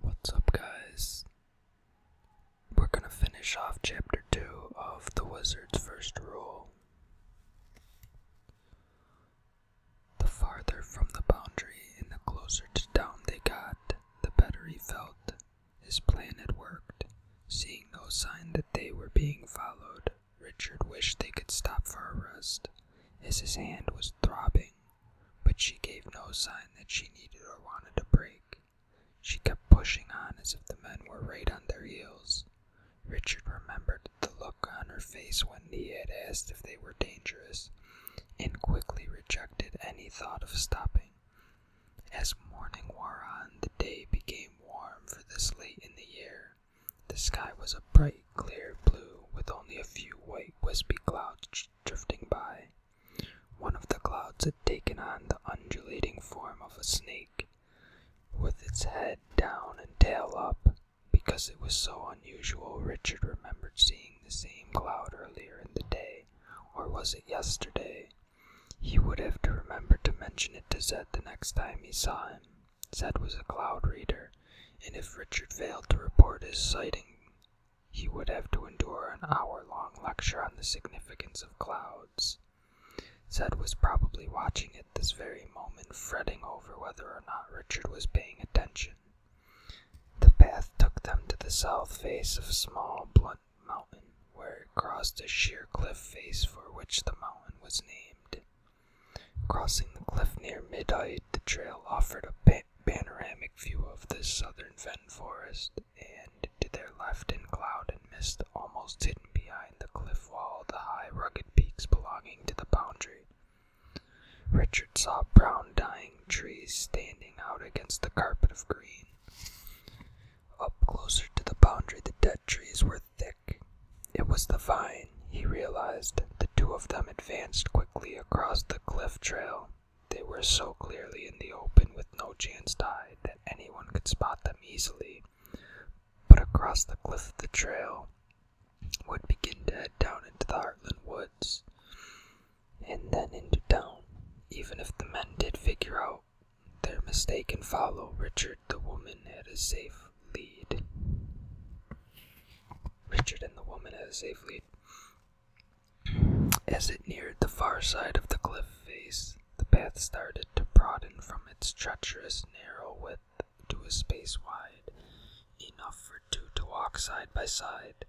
What's up, guys? We're gonna finish off chapter 2 of The Wizard's First Rule. The farther from the boundary and the closer to town they got, the better he felt. His plan had worked. Seeing no sign that they were being followed, Richard wished they could stop for a rest, as his hand was throbbing but she gave no sign that she needed or wanted to break. She kept pushing on as if the men were right on their heels. Richard remembered the look on her face when he had asked if they were dangerous, and quickly rejected any thought of stopping. As morning wore on, the day became warm for this late in the year. The sky was a bright, clear blue, with only a few white, wispy clouds drifting by. One of the clouds had taken on the undulating form of a snake, with its head down and tail up. Because it was so unusual, Richard remembered seeing the same cloud earlier in the day, or was it yesterday? He would have to remember to mention it to Zed the next time he saw him. Zed was a cloud reader, and if Richard failed to report his sighting he would have to endure an hour long lecture on the significance of clouds. Zed was probably watching it this very moment, fretting over whether or not Richard was paying attention. The path took them to the south face of a small, blunt mountain, where it crossed a sheer cliff face for which the mountain was named. Crossing the cliff near mid height, the trail offered a panoramic view of the southern fen forest, and to their left in cloud and mist, almost hidden behind the cliff wall, the high, rugged peaks belonging to the boundary. Richard saw brown dying trees standing out against the carpet of green. Up closer to the boundary, the dead trees were thick. It was the vine, he realized, two of them advanced quickly across the cliff trail. They were so clearly in the open with no chance to hide that anyone could spot them easily. But across the cliff the trail would begin to head down into the Heartland woods and then into town. Even if the men did figure out their mistake and follow Richard, the woman had a safe lead. Richard and the woman had safely. As it neared the far side of the cliff face, the path started to broaden from its treacherous, narrow width to a space wide, enough for two to walk side by side.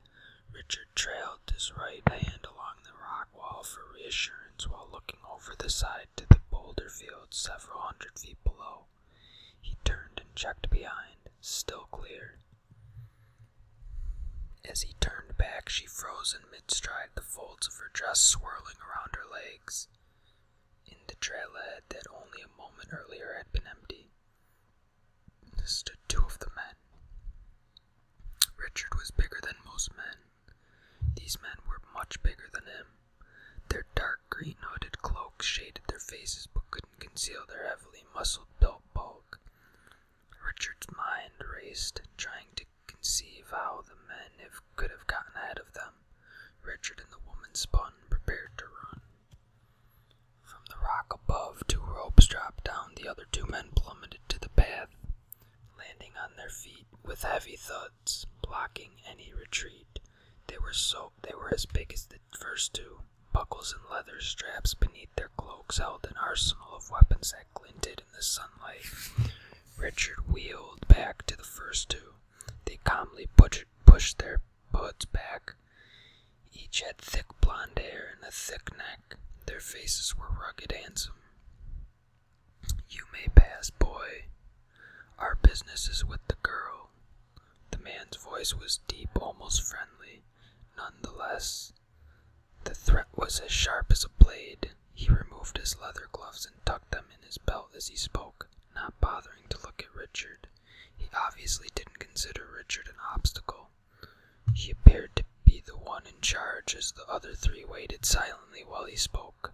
Richard trailed his right hand along the rock wall for reassurance while looking over the side to the boulder field several hundred feet below. He turned and checked behind, still clear. As he turned back, she froze in mid stride, the folds of her dress swirling around her legs. In the trailhead that only a moment earlier had been empty, stood two of the men. Richard was bigger than most men. These men were much bigger than him. Their dark green hooded cloaks shaded their faces but couldn't conceal their heavily muscled built bulk. Richard's mind raced, trying to conceive how the men could have gotten ahead of them. Richard and the woman spun, prepared to run. From the rock above, two ropes dropped down. The other two men plummeted to the path, landing on their feet with heavy thuds, blocking any retreat. They were so they were as big as the first two. Buckles and leather straps beneath their cloaks held an arsenal of weapons that glinted in the sunlight. Richard wheeled back to the first two. They calmly pushed, pushed their hoods back. Each had thick blond hair and a thick neck. Their faces were rugged handsome. You may pass, boy. Our business is with the girl. The man's voice was deep, almost friendly. Nonetheless, the threat was as sharp as a blade. He removed his leather gloves and tucked them in his belt as he spoke, not bothering to look at Richard. He obviously didn't consider Richard an obstacle. He appeared to be the one in charge as the other three waited silently while he spoke.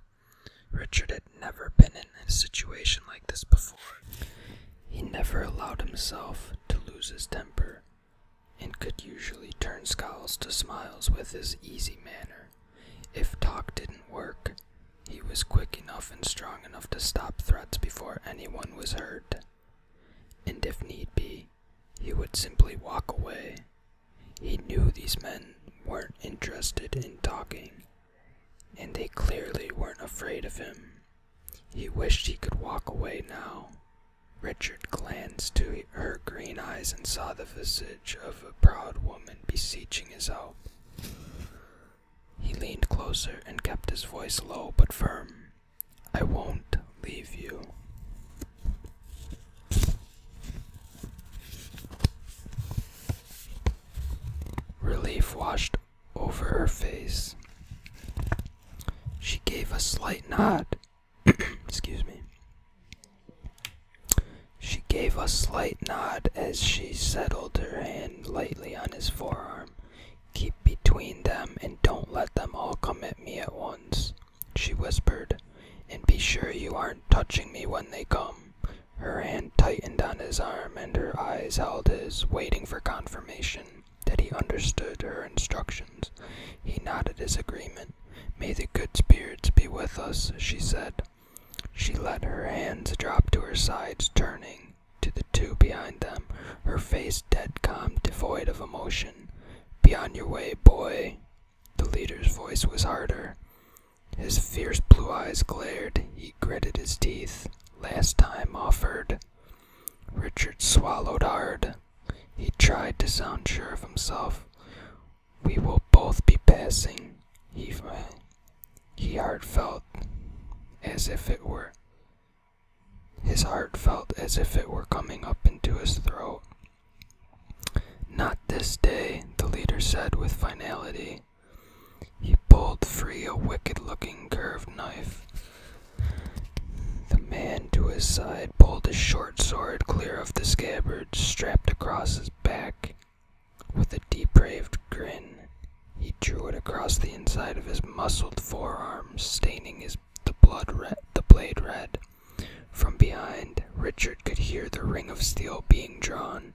Richard had never been in a situation like this before. He never allowed himself to lose his temper and could usually turn scowls to smiles with his easy manner. If talk didn't work, he was quick enough and strong enough to stop threats before anyone was hurt. And if need be, he would simply walk away. He knew these men weren't interested in talking, and they clearly weren't afraid of him. He wished he could walk away now. Richard glanced to her green eyes and saw the visage of a proud woman beseeching his help. He leaned closer and kept his voice low but firm. I won't leave you. Relief washed over her face. She gave a slight nod. Excuse me. She gave a slight nod as she settled her hand lightly on his forearm. Keep between them and don't let them all come at me at once, she whispered. And be sure you aren't touching me when they come. Her hand tightened on his arm, and her eyes held his, waiting for confirmation that he understood her instructions. He nodded his agreement. May the good spirits be with us, she said. She let her hands drop to her sides, turning to the two behind them, her face dead calm, devoid of emotion. Be on your way, boy. The leader's voice was harder. His fierce blue eyes glared, he gritted his teeth. Last time offered. Richard swallowed hard. He tried to sound sure of himself. We will both be passing, he, he heart felt as if it were. His heart felt as if it were coming up into his throat. Not this day, the leader said with finality. He pulled free a wicked looking curved knife. The man to his side pulled a short sword clear of the scabbard strapped across his back. With a depraved grin, he drew it across the inside of his muscled forearm, staining the, blood red, the blade red. From behind, Richard could hear the ring of steel being drawn.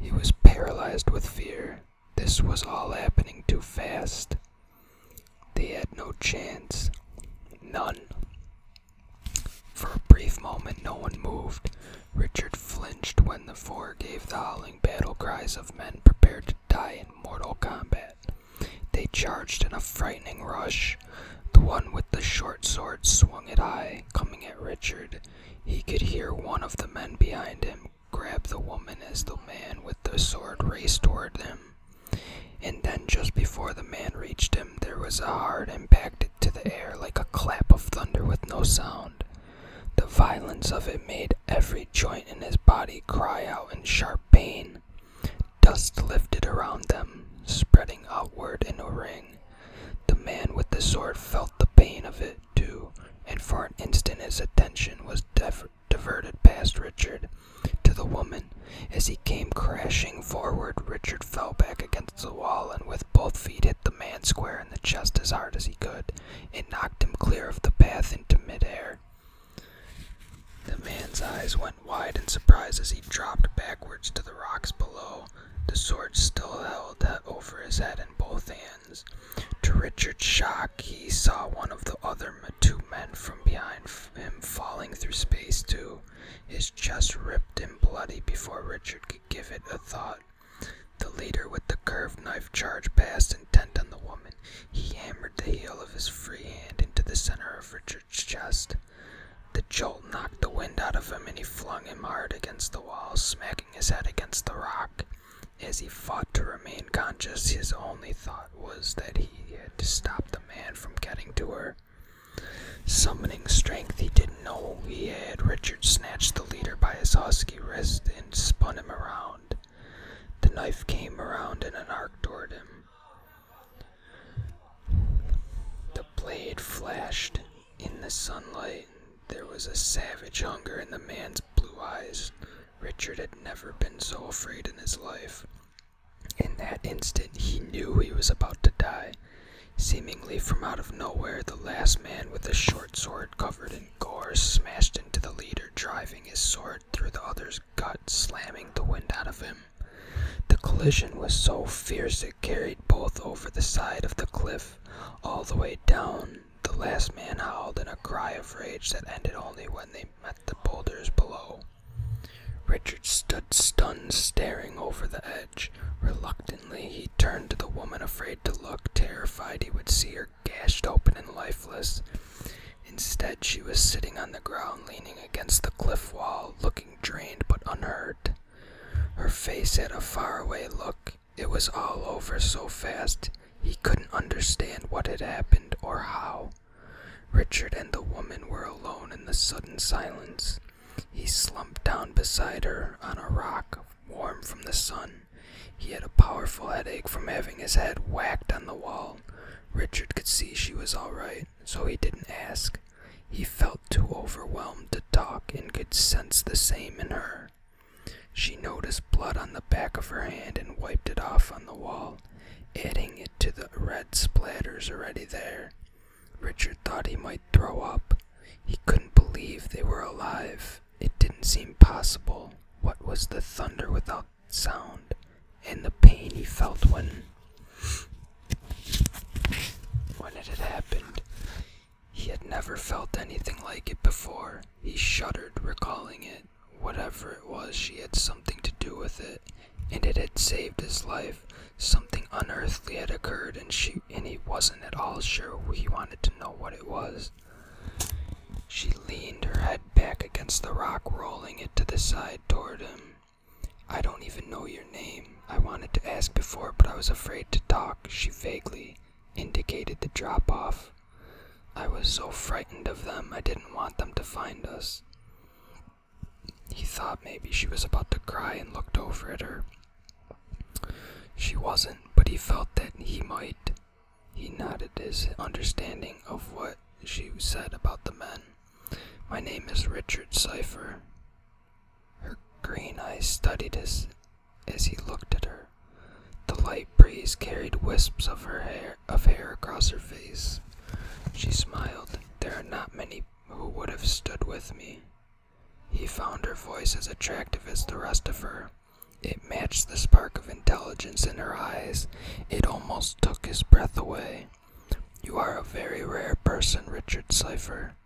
He was paralyzed with fear. This was all happening too fast. They had no chance. None. For a brief moment, no one moved. Richard flinched when the four gave the howling battle cries of men prepared to die in mortal combat. They charged in a frightening rush. The one with the short sword swung it high, coming at Richard. He could hear one of the men behind him grab the woman as the man with the sword raced toward them, And then, just before the man reached him, there was a hard impact into the air like a clap of thunder with no sound. The violence of it made every joint in his body cry out in sharp pain. Dust lifted around them, spreading outward in a ring. The man with the sword felt the pain of it, too, and for an instant his attention was diverted past Richard to the woman. As he came crashing forward, Richard fell back against the wall and with both feet hit the man square in the chest as hard as he could. and knocked him clear of the path into midair. The man's eyes went wide in surprise as he dropped backwards to the rocks below the sword still held over his head in both hands. To Richard's shock, he saw one of the other two men from behind him falling through space, too. His chest ripped and bloody before Richard could give it a thought. The leader with the curved knife charged past, intent on the woman. He hammered the heel of his free hand into the center of Richard's chest. The jolt knocked the wind out of him and he flung him hard against the wall, smacking his head against the rock. As he fought to remain conscious, his only thought was that he had to stop the man from getting to her. Summoning strength he didn't know he had, Richard snatched the leader by his husky wrist and spun him around. The knife came around in an arc toward him. The blade flashed in the sunlight. There was a savage hunger in the man's blue eyes. Richard had never been so afraid in his life. In that instant, he knew he was about to die. Seemingly from out of nowhere, the last man with a short sword covered in gore smashed into the leader, driving his sword through the other's gut, slamming the wind out of him. The collision was so fierce it carried both over the side of the cliff, all the way down. The last man howled in a cry of rage that ended only when they met the boulders below. Richard stood stunned, staring over the edge. Reluctantly, he turned to the woman, afraid to look, terrified he would see her gashed open and lifeless. Instead, she was sitting on the ground, leaning against the cliff wall, looking drained but unhurt. Her face had a faraway look. It was all over so fast he couldn't understand what had happened or how. Richard and the woman were alone in the sudden silence. He slumped down beside her on a rock, warm from the sun. He had a powerful headache from having his head whacked on the wall. Richard could see she was all right so he didn't ask. He felt too overwhelmed to talk and could sense the same in her. She noticed blood on the back of her hand and wiped it off on the wall, adding it to the red splatters already there. Richard thought he might throw up. He couldn't believe they were alive. It didn't seem possible. What was the thunder without sound? and the pain he felt when when it had happened. He had never felt anything like it before. He shuddered, recalling it. Whatever it was, she had something to do with it, and it had saved his life. Something unearthly had occurred, and she and he wasn't at all sure. He wanted to know what it was. She leaned her head back against the rock, rolling it to the side toward him. I don't even know your name. I wanted to ask before, but I was afraid to talk. She vaguely indicated the drop off. I was so frightened of them, I didn't want them to find us. He thought maybe she was about to cry and looked over at her. She wasn't, but he felt that he might. He nodded his understanding of what she said about the men. My name is Richard Cipher. Her green eyes studied as, as he looked at her. The light breeze carried wisps of her of hair across her face. She smiled. There are not many who would have stood with me. He found her voice as attractive as the rest of her. It matched the spark of intelligence in her eyes. It almost took his breath away. You are a very rare person, Richard Cipher.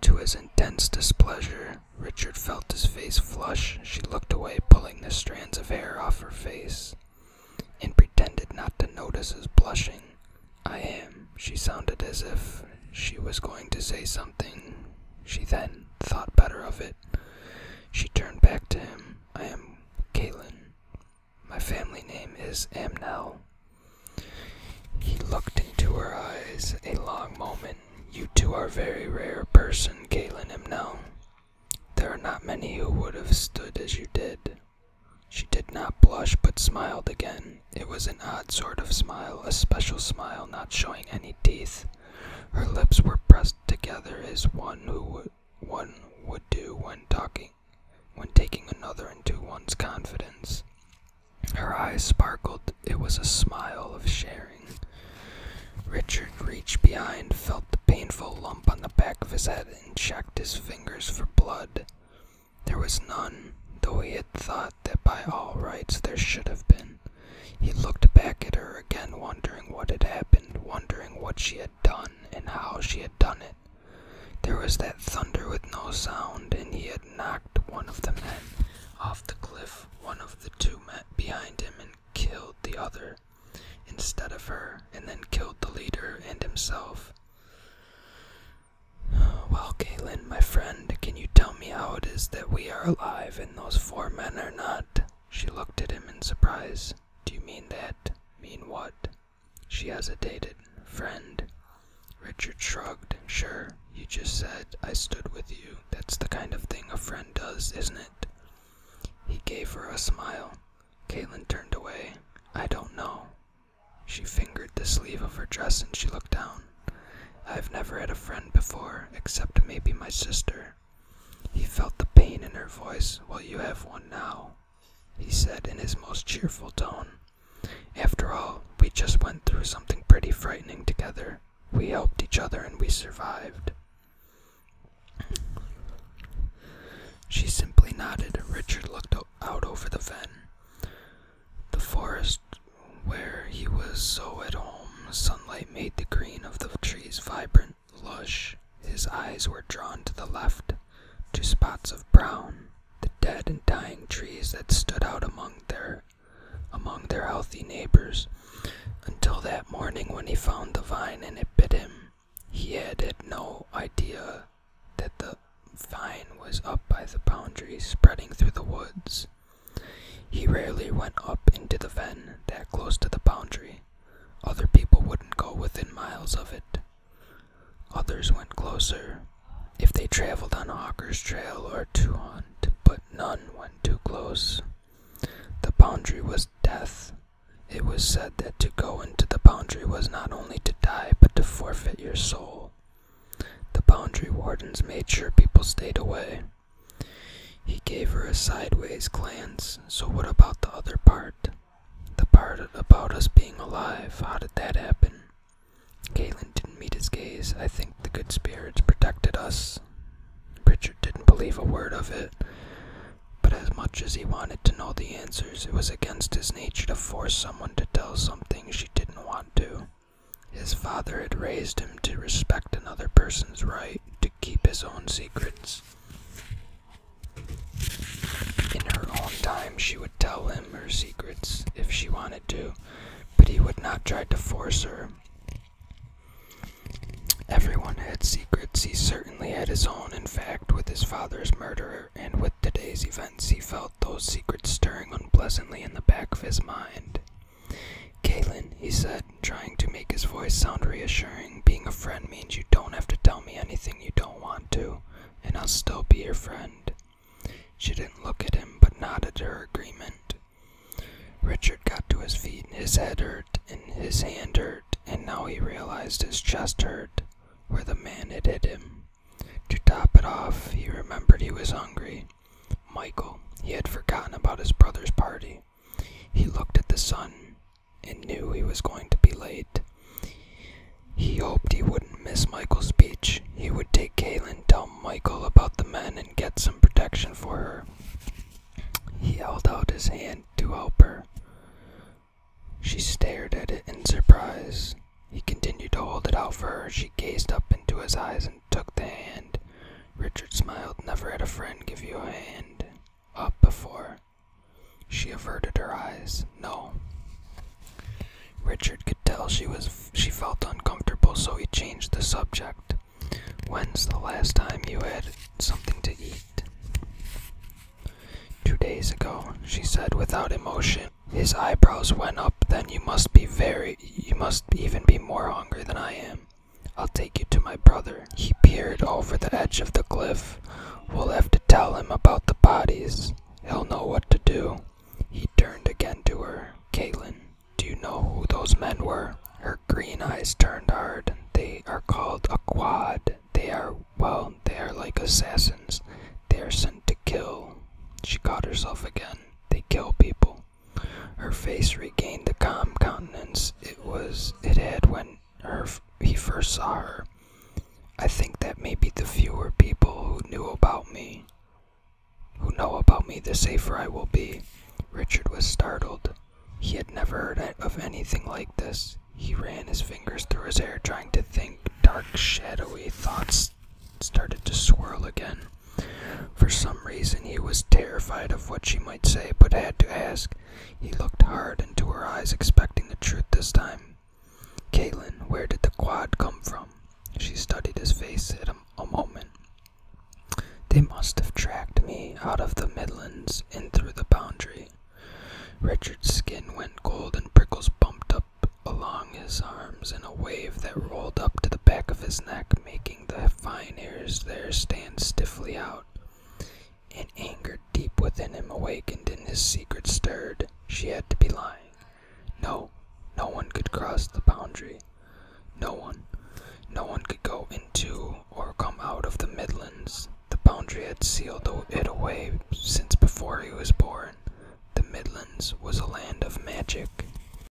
To his intense displeasure, Richard felt his face flush. She looked away, pulling the strands of hair off her face, and pretended not to notice his blushing. I am. She sounded as if she was going to say something. She then thought better of it. She turned back to him. I am Caitlin. My family name is Amnel. He looked into her eyes a long moment. You two are a very rare person, Galen Amnel. There are not many who would have stood as you did. She did not blush, but smiled again. It was an odd sort of smile, a special smile not showing any teeth. Her lips were pressed together as one who one would do when talking when taking another into one's confidence. Her eyes sparkled. It was a smile of sharing. Richard reached behind, felt the painful lump on the back of his head, and checked his fingers for blood. There was none, though he had thought that by all rights there should have been. He looked back at her again, wondering what had happened, wondering what she had done and how she had done it. There was that thunder with no sound, and he had knocked one of the men off the cliff, one of the two men behind him, and killed the other instead of her, and then killed the leader and himself. Well, Caitlin, my friend, can you tell me how it is that we are alive and those four men are not? She looked at him in surprise. Do you mean that? Mean what? She hesitated. Friend. Richard shrugged. Sure. You just said I stood with you. That's the kind of thing a friend does, isn't it? He gave her a smile. Caitlin turned away. I don't know. She fingered the sleeve of her dress and she looked down. I've never had a friend before, except maybe my sister. He felt the pain in her voice. Well, you have one now, he said in his most cheerful tone. After all, we just went through something pretty frightening together. We helped each other and we survived. She simply nodded. Richard looked out over the fen. The forest where he was so at home, sunlight made the green of the trees vibrant lush, his eyes were drawn to the left, to spots of brown, the dead and dying trees that stood out among their among their healthy neighbors, until that morning when he found the vine and it bit him. He had had no idea that the vine was up by the boundary, spreading through the woods. He rarely went up into the fen that close to the boundary, other people wouldn't go within miles of it. Others went closer, if they traveled on Hawker's Trail or to hunt, but none went too close. The boundary was death. It was said that to go into the boundary was not only to die, but to forfeit your soul. The boundary wardens made sure people stayed away. He gave her a sideways glance. So, what about the other part? The part about us being alive. How did that happen? Galen didn't meet his gaze. I think the good spirits protected us. Pritchard didn't believe a word of it. But as much as he wanted to know the answers, it was against his nature to force someone to tell something she didn't want to. His father had raised him to respect another person's right to keep his own secrets. In her own time, she would tell him her secrets if she wanted to, but he would not try to force her. Everyone had secrets. He certainly had his own. In fact, with his father's murder and with today's events, he felt those secrets stirring unpleasantly in the back of his mind. Galen, he said, trying to make his voice sound reassuring, being a friend means you don't have to tell me anything you don't want to, and I'll still be your friend. She didn't look at him, but nodded her agreement. Richard got to his feet, his head hurt, and his hand hurt, and now he realized his chest hurt, where the man had hit him. To top it off, he remembered he was hungry. Michael, he had forgotten about his brother's party. He looked at the sun and knew he was going to be late. He hoped he wouldn't miss Michael's speech. He would take Kaylin, tell Michael about the men, and get some protection for her. He held out his hand to help her. She stared at it in surprise. He continued to hold it out for her. She gazed up into his eyes in took the hand. Richard smiled. Never had a friend give you a hand up before. She averted her eyes. No. Richard could tell she was she felt uncomfortable, so he changed the subject. When's the last time you had something to eat? Two days ago, she said without emotion. His eyebrows went up. Then you must be very you must even be more hungry than I am. I'll take you to my brother. He peered over the edge of the cliff. We'll have to tell him about the bodies. He'll know what to do. He turned again to her. Caitlin, do you know who those men were? Her green eyes turned hard. They are called a quad. They are, well, they are like assassins. They are sent to kill. She caught herself again. They kill people. Her face regained the calm countenance it was it had when her he first saw her. I think that maybe the fewer people who knew about me, who know about me, the safer I will be. Richard was startled. He had never heard of anything like this. He ran his fingers through his hair, trying to think. Dark, shadowy thoughts started to swirl again. For some reason, he was terrified of what she might say, but had to ask. He looked hard into her eyes, expecting the truth this time. Caitlin, where did the quad come from? She studied his face at a, moment. They must have tracked me out of the Midlands and through the boundary. Richard's skin went cold and prickles bumped up along his arms in a wave that rolled up to the back of his neck, making the fine hairs there stand stiffly out, and anger deep within him awakened and his secret stirred, she had to be lying. No, no one could cross the boundary. No one. No one could go into or come out of the Midlands. The boundary had sealed it away since before he was born. The Midlands was a land of magic.